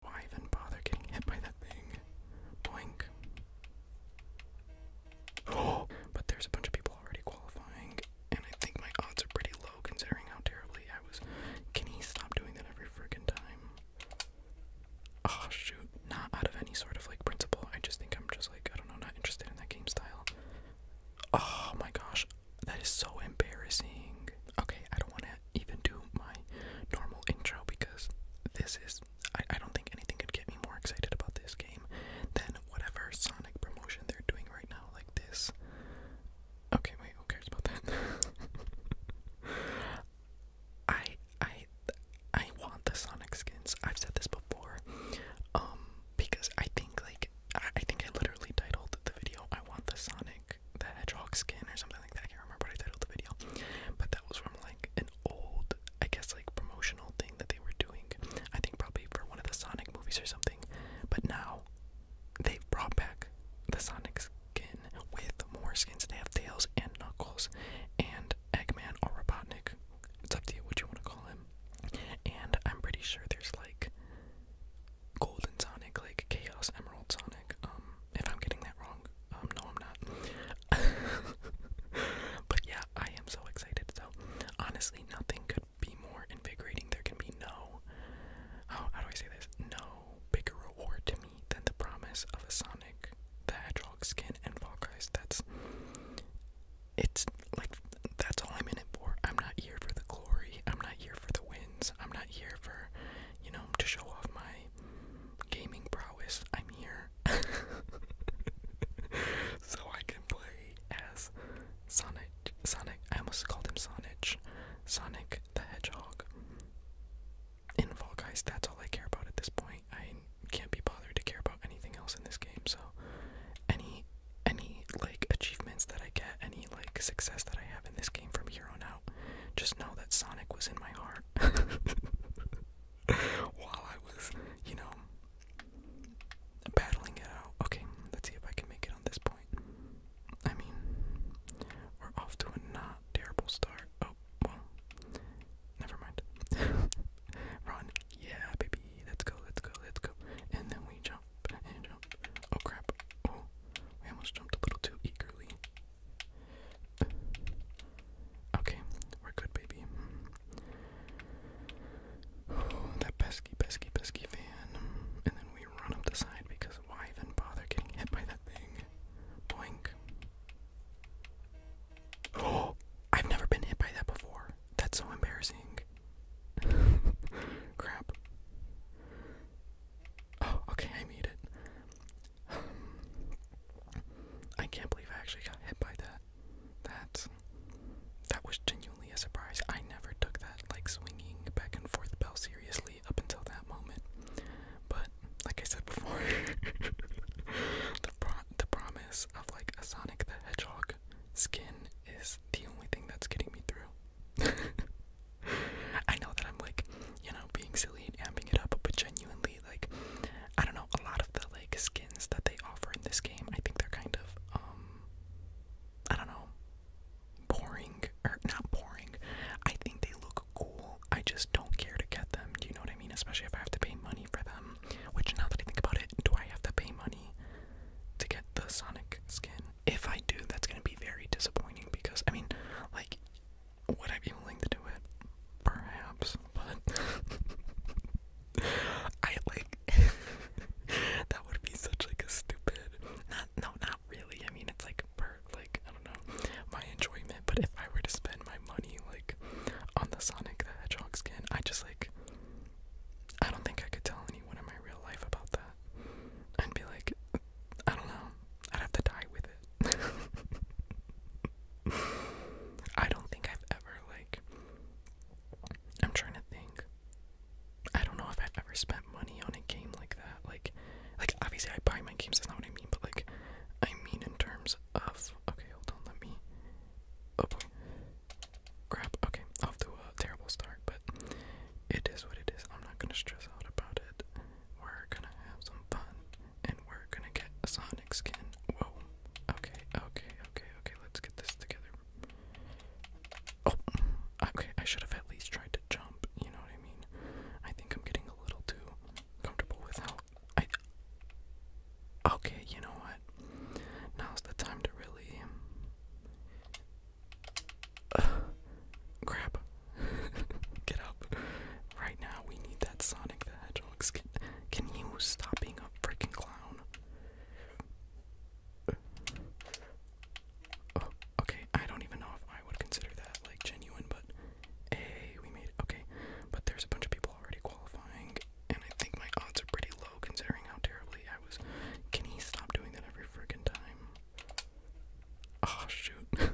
Why even bother getting hit by that thing? Boink. But there's a bunch of people already qualifying, and I think my odds are pretty low considering how terribly I was. Can he stop doing that every freaking time? Oh, shoot. Not out of any sort of like principle. I just think I'm just like, I don't know, not interested in that game style. Oh my gosh. That is so embarrassing. Okay, I don't want to even do my normal intro because this is I, I don't think anything could get me more excited about this game than whatever Sonic promotion they're doing right now, like this. Okay, wait, who cares about that? I I I want the Sonic skins. I've said this before. Um, because I think like I, I think I literally titled the video I want the Sonic the hedgehog skin or something like that. I can't remember what I titled the video, but that was from like an old, I guess, like promotional thing that they were doing. I think probably for one of the Sonic movies or something. But now they've brought back the Sonic skin with more skins. They have Tails and Knuckles and Eggman or Robotnik. It's up to you what you want to call him. And I'm pretty sure there's like Golden Sonic, like Chaos Emerald Sonic. Um, if I'm getting that wrong, um, no, I'm not. but yeah, I am so excited. So honestly, nothing could be more invigorating. There can be no, how, do I say this? No bigger reward to me than the promise of a Sonic the Hedgehog skin and Fall That's it's like that's all I'm in it for. I'm not here for the glory. I'm not here for the wins. I'm not here for, you know, to show off my gaming prowess. I'm here so I can play as Sonic. Sonic. I almost called him Sonic. Sonic the Hedgehog. In Fall that's all I care about at this point. I can't be bothered to care about anything else in this game. So, any any like achievements that I get, any like success that I have in this game from here on out, just know that Sonic was in my heart while I was, you know, battling it out. Okay, let's see if I can make it on this point. I mean, we're off to a not terrible start. Oh, well, never mind. Run, yeah, baby. Let's go, let's go, let's go. And then we jump and jump. Oh crap. Oh. We almost jumped a little too eagerly. Okay, we're good, baby. that pesky, pesky, pesky van. And then we run up the side because why even bother getting hit by that thing? Boink. I've never been hit by that before. That's so embarrassing. Crap. Oh, okay, I made it. Um, I can't believe I actually got hit by that. That that was genuinely a surprise. I never took that like swinging back and forth bell seriously up until that moment. But like I said before, the pro the promise of like a Sonic the Hedgehog skin is the only thing that's getting me through. I know that I'm like, you know, being silly and amping it up, but genuinely, like, I don't know, a lot of the like skins that they offer in this game, I think they're kind of, um, I don't know, boring or not boring. I think they look cool. I just don't care to get them. Do you know what I mean? Especially if I have to pay money for them. Which now that I think about it, do I have to pay money to get the Sonic skin? If I do, that's gonna be very disappointing because I mean, like, would I be willing to do it? Perhaps, but I like that would be such like a stupid. no, not really. I mean, it's like per like I don't know my enjoyment. But if I were to spend my money like on the Sonic the Hedgehog skin, I just like I don't think I could tell anyone in my real life about that. I'd be like, I don't know. I'd have to die with it. I don't think I've ever, like, I'm trying to think. I don't know if I've ever spent money on a game like that. Like, like obviously I buy my games, that's not what I mean, but like, I mean in terms of, okay, hold on, let me, oh boy, crap, okay, off to a terrible start, but it is what it is. I'm not gonna stress out about it. We're gonna have some fun, and we're gonna get a Sonic skin. Whoa. Okay, okay, okay, okay. Let's get this together. Oh, okay. I should have at least tried to jump. You know what I mean? I think I'm getting a little too comfortable with how I. Okay, you know what? Now's the time to really crap. Get up. Right now, we need that Sonic the Hedgehog skin. Can you stop being a freaking clown? Oh, okay, I don't even know if I would consider that like genuine, but hey, we made Okay, but there's a bunch of people already qualifying, and I think my odds are pretty low considering how terribly I was. Can he stop doing that every freaking time? Oh shoot. it's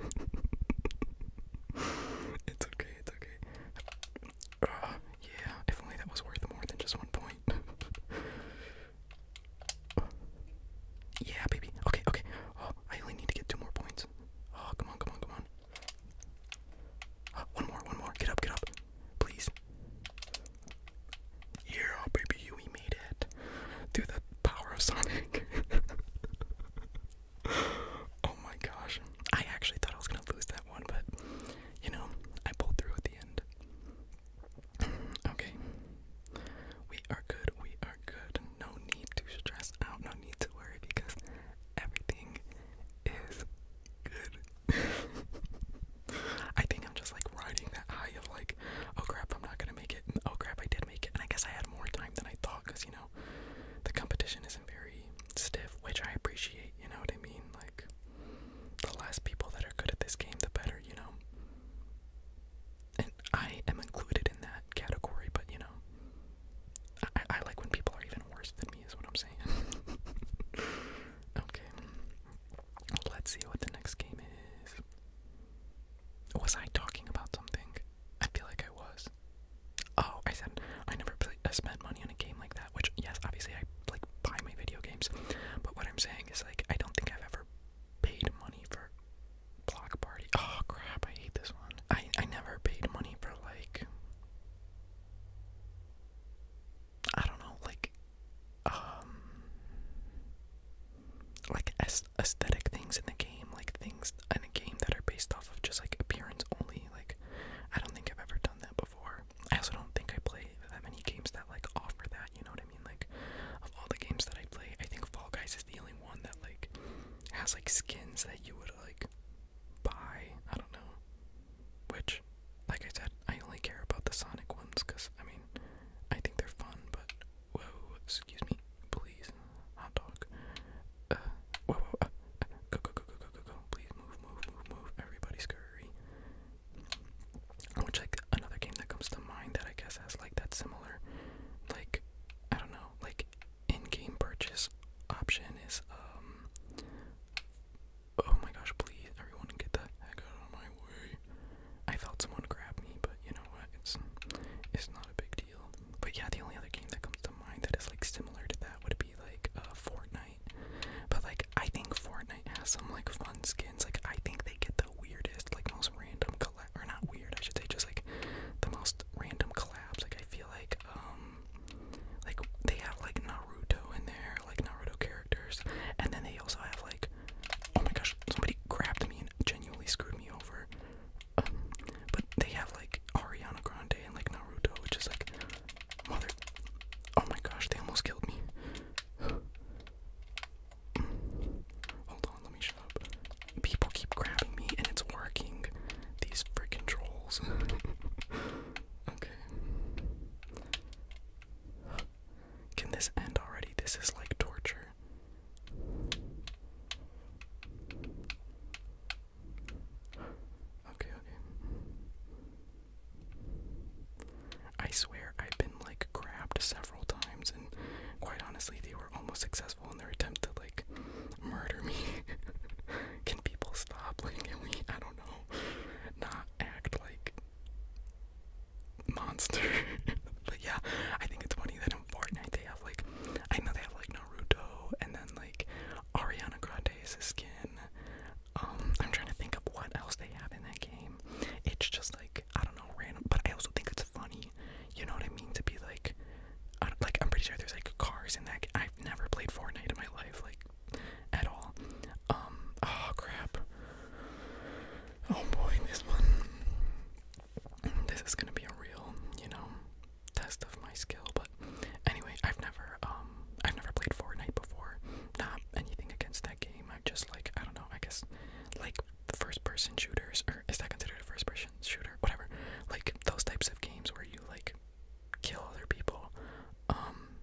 okay, it's okay. Ah, yeah, if only that was worth more than just one point. yeah, baby. Okay, okay. Oh, I only need to get two more points. Oh, come on, come on, come on. Ah, one more, one more. Get up, get up. Please. Yeah, oh, baby, we made it through the power of Sonic. oh my gosh. I actually thought I was gonna lose that one, but you know, I pulled through at the end. okay. We are good, we are good. No need to stress out, no need to worry because everything is good. I think I'm just like riding that high of like, oh crap, I'm not gonna make it. And, oh crap, I did make it. And I guess I had more time than I thought because you know, the competition isn't very stiff, which I appreciate. You know what I mean? Like, the less people that are good at this game, the better. You know. And I am included in that category, but you know, I, I like when people are even worse than me, is what I'm saying. okay. Let's see what the next game is. Was I talking about something? I feel like I was. Oh, I said I never play, I uh, spent money on a game like that, which, yes, obviously I like buy my video games, but what I'm saying is like I don't think I've ever paid money for Block Party. Oh crap, I hate this one. I I never paid money for like I don't know, like um like aesthetic things in the game, like things in a game that are based off of just like appearance only. Like I don't think I've ever done that before. I also don't think I play that many games that like offer that, you know what I mean? Like of all the games that I play, I think Fall Guys is the only one that like has like skins that you would like buy. I don't know. Which which, like I said, I only care about the Sonic ones because, I mean, I think they're fun, but, whoa, excuse me, please, hot dog, uh, whoa, whoa, uh, uh, go, go, go, go, go, go, go, please move, move, move, move, everybody scurry, which, like, another game that comes to mind that I guess has, like, that similar, like, I don't know, like, in-game purchase option is, um, Oh my gosh, please, everyone get the heck out of my way. I felt someone grab me, but you know what? It's it's not a big deal. But yeah, the only other game that comes to mind that is like similar to that would be like uh Fortnite. But like I think Fortnite has some like fun skins. Like I think they get the weirdest, like most random collab or not weird, I should say just like the most random collabs. Like I feel like um like they have like Naruto in there, like Naruto characters and then they also have like, oh my gosh, somebody grabbed me and genuinely screwed me over. Um, but they have like Ariana Grande and like Naruto, which is like, mother, oh my gosh, they almost killed me. Hold on, let me shut up. People keep grabbing me, and it's working. These freaking trolls. okay. Can this end already? This is like torture. Okay, okay. I swear I've been like grabbed several times and quite honestly they were almost successful in their attempt to like murder me. Can people stop? Like I don't know not act like monster. but yeah, I think it's funny that in Fortnite they have like, I know they have like Naruto and then like Ariana Grande's skin. Um, I'm trying to think of what else they have in that game. It's just like I don't know, random. But I also think it's funny. You know what I mean? To be like, like I'm pretty sure there's like cars in that. I've never played Fortnite in my life. Like at all. Um, oh crap. Oh boy, this one. This is gonna be a real, you know, test of my skill, but anyway, I've never, um, I've never played Fortnite before. Not anything against that game. I just like, I don't know, I guess, like first person shooters, or is that considered a first person shooter? Whatever. Like those types of games where you like kill other people. Um,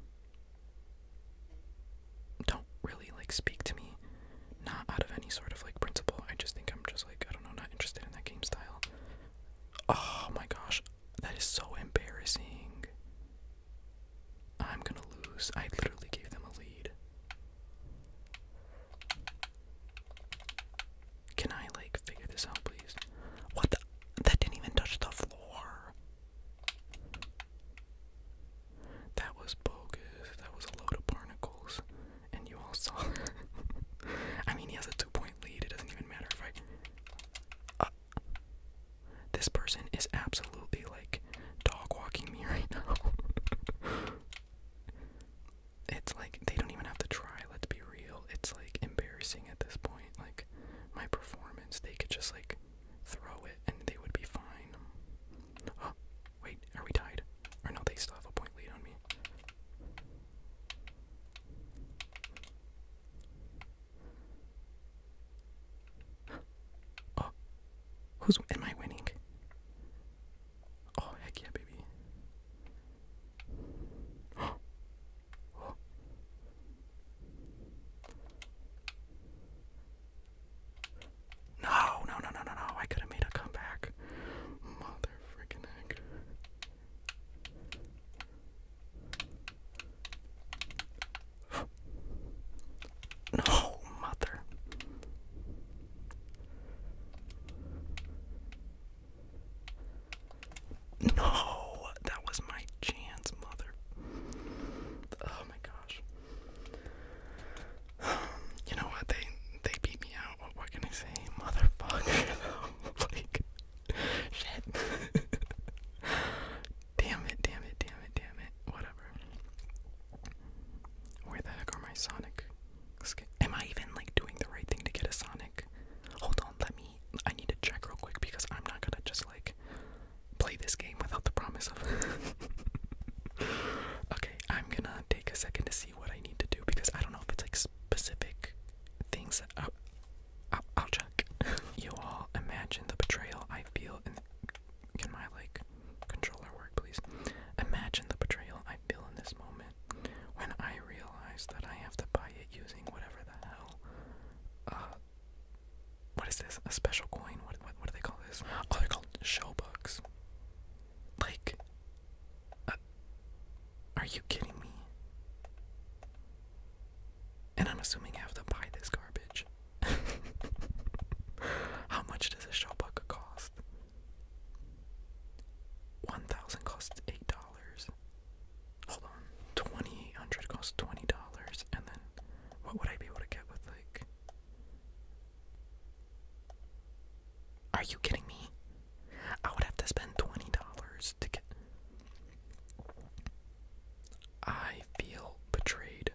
don't really like speak to me. Not out of any sort of like principle. I just think I'm just like, I don't know, not interested in that game style. Oh my gosh, that is so embarrassing. I'm gonna lose. I literally gave them a lead. Can I like figure this out, please? What the? That didn't even touch the floor. That was bogus. That was a load of barnacles. And you all saw it. I mean, he has a two point lead. It doesn't even matter if I. Uh, this person is absolutely like dog walking me right now. it's like they don't even have to try, let's be real. It's like embarrassing at this point. Like, my performance, they could just like throw it, and they would be fine. wait, are we tied? Or no, they still have a point lead on me. Oh, who's am I winning? Oh, heck yeah, baby. Oh. No, no, no, no, no, no. I could have made a comeback. Mother freaking No, mother. No, that was my chance, mother. Oh my gosh. You know what? They they beat me out. What, can I say, motherfucker? like shit. damn it! Damn it! Damn it! Damn it! Whatever. Where the heck are my Sonic? Am I even like doing the right thing to get a Sonic? Hold on, let me. I need to check real quick because I'm not gonna just like play this game without the promise of. okay, I'm gonna take a second to see what I need to do because I don't know if it's like specific things uh, I'll, check. you all imagine the betrayal I feel in. Can my like controller work, please? Imagine the betrayal I feel in this moment when I realize that I have to buy it using whatever the hell uh, what is this? A special coin? What what what do they call this? Oh, they're called show bucks. Like, uh, are you kidding me? And I'm assuming I have to buy this garbage. How much does a show buck cost? One thousand costs eight dollars hold on, twenty eight hundred costs twenty dollars, and then what would I be able to get with like? Are you kidding me? I would have to spend twenty dollars to get. I feel betrayed.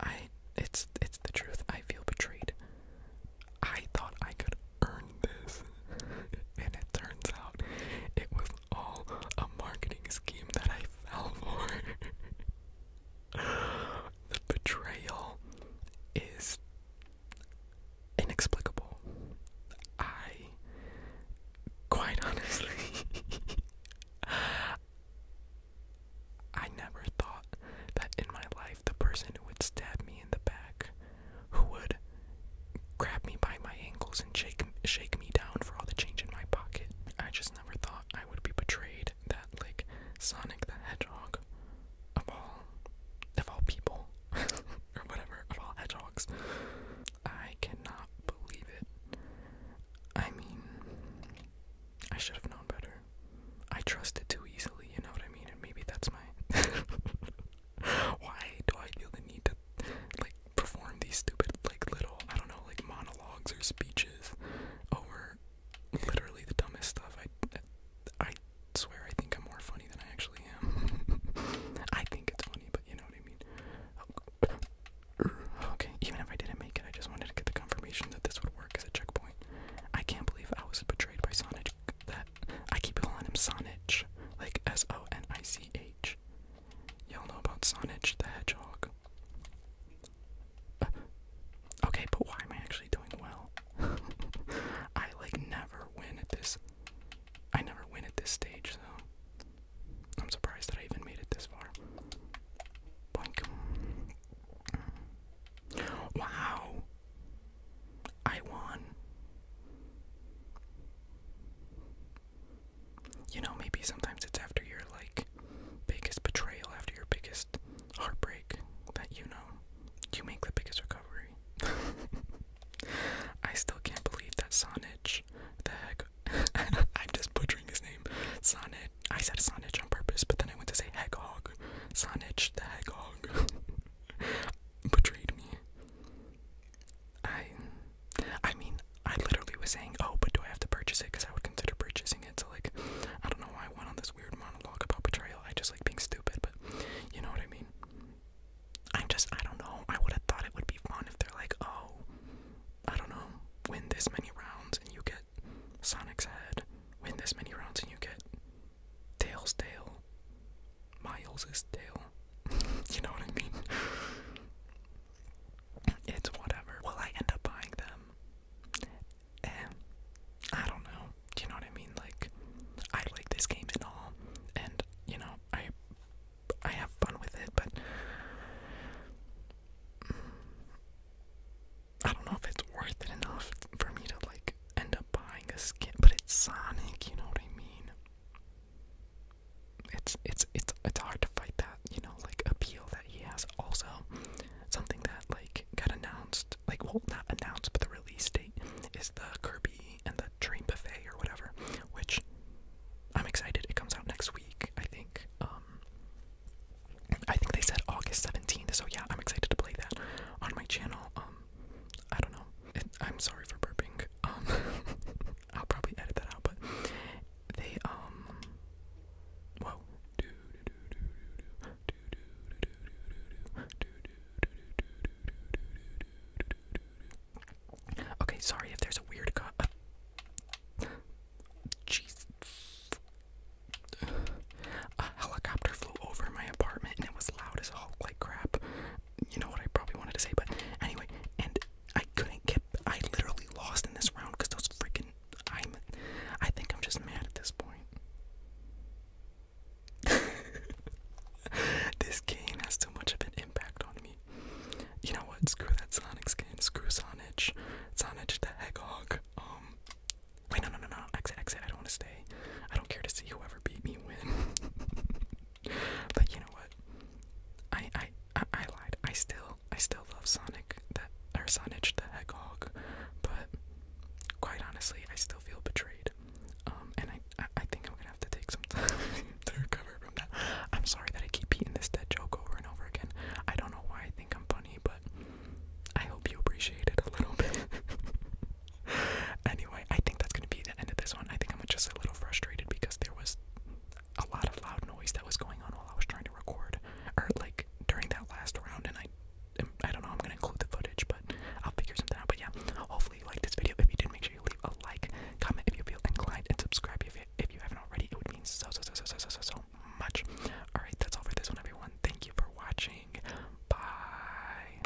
I it's it's the truth. I feel betrayed. I thought I could earn this, and it turns out it was all a marketing scheme that I fell for. the betrayal is inexplicable. I, quite honestly, I never thought that in my life the person who would stab me in the back who would grab me by my ankles and shake shake me down for all the change in my pocket. I just never thought I would be betrayed that like Sonic the Hedgehog of all of all people or whatever of all hedgehogs. I cannot believe it. I mean I should have known better. I trusted too easily, you know what I mean? And maybe that's my Why do I feel the need to like perform these stupid like little I don't know like monologues or speeches over literally the dumbest stuff. I I swear I think I'm more funny than I actually am. I think it's funny, but you know what I mean. Oh. okay, even if I didn't make it, I just wanted to get the confirmation that this would work as a checkpoint. I can't believe I was betrayed by Sonic. That I keep calling him Sonic, like S O N I C H. Y'all know about Sonich the Hedgehog. Uh, okay, but why am I actually doing well? I like never win at this. I never win at this stage, so I'm surprised that I even made it this far. Wow. I won. You know, maybe sometimes it's after your like biggest betrayal, after your biggest heartbreak that you know you make the biggest recovery. I still can't believe that Sonich the heck I'm just butchering his name. Sonich I said Sonich on purpose, but then I went to say Hegog. Sonich the Hegog betrayed me. I, I mean, I literally was saying, oh, but do I have to purchase it? Because I would consider purchasing it. So like, I don't know why I went on this weird monologue about betrayal. I just like being stupid, but you know what I mean. I'm just, I don't know. I would have thought it would be fun if they're like, oh, I don't know, win this many rounds and you get Sonic's head. Win this many rounds and you get Tails' tail. Miles's tail. you know what I mean? it's whatever. Will I end up buying them? Eh. I don't know. you know what I mean? Like, I like this game and all, and you know, I I have fun with it, but I don't know if it's worth it enough for me to like end up buying a skin. But it's Sonic, you know what I mean? It's it's it's it's hard to fight that, you know, like appeal that he has. Also, something that like got announced, like well not announced, but the release date is the Kirby and the Dream Buffet or whatever, which I'm excited. It comes out next week, I think. Um, I think they said August 17th, so yeah, I'm excited to play that on my channel. Um, I don't know. I'm sorry for burping. Um, I'll probably edit that out, but they um. Whoa. Okay, sorry if there's a weird cut. Uh, A helicopter flew over my apartment and it was loud as all like crap you know what I probably wanted to say, but anyway, and I couldn't get. I literally lost in this round because those freaking. I'm. I think I'm just mad at this point. this game has too much of an impact on me. You know what? Screw that Sonic skin. Screw Sonic. Sonic the Hedgehog. Um. Wait, no, no, no, no. Exit, exit. I don't want to stay. I don't care to see whoever beat me win. But you know what? I I I, lied. I still I still love Sonic the or Sonic the Hedgehog, but quite honestly, I still feel betrayed. Um, and I, I think I'm gonna have to take some time to recover from that. I'm sorry that I keep beating this dead joke over and over again. I don't know why I think I'm funny, but I hope you appreciate it a little bit anyway, I think that's gonna be the end of this one. I think I'm just a little frustrated because there was a lot of loud noise that was going on while I was trying to record, or like during that last round, and I, I don't know. I'm gonna include the footage, but I'll figure something out. But yeah, hopefully you liked this video. If you did, make sure you leave a like, comment if you feel inclined, and subscribe if you, if you haven't already. It would mean so so so so so so so much. All right, that's all for this one, everyone. Thank you for watching. Bye.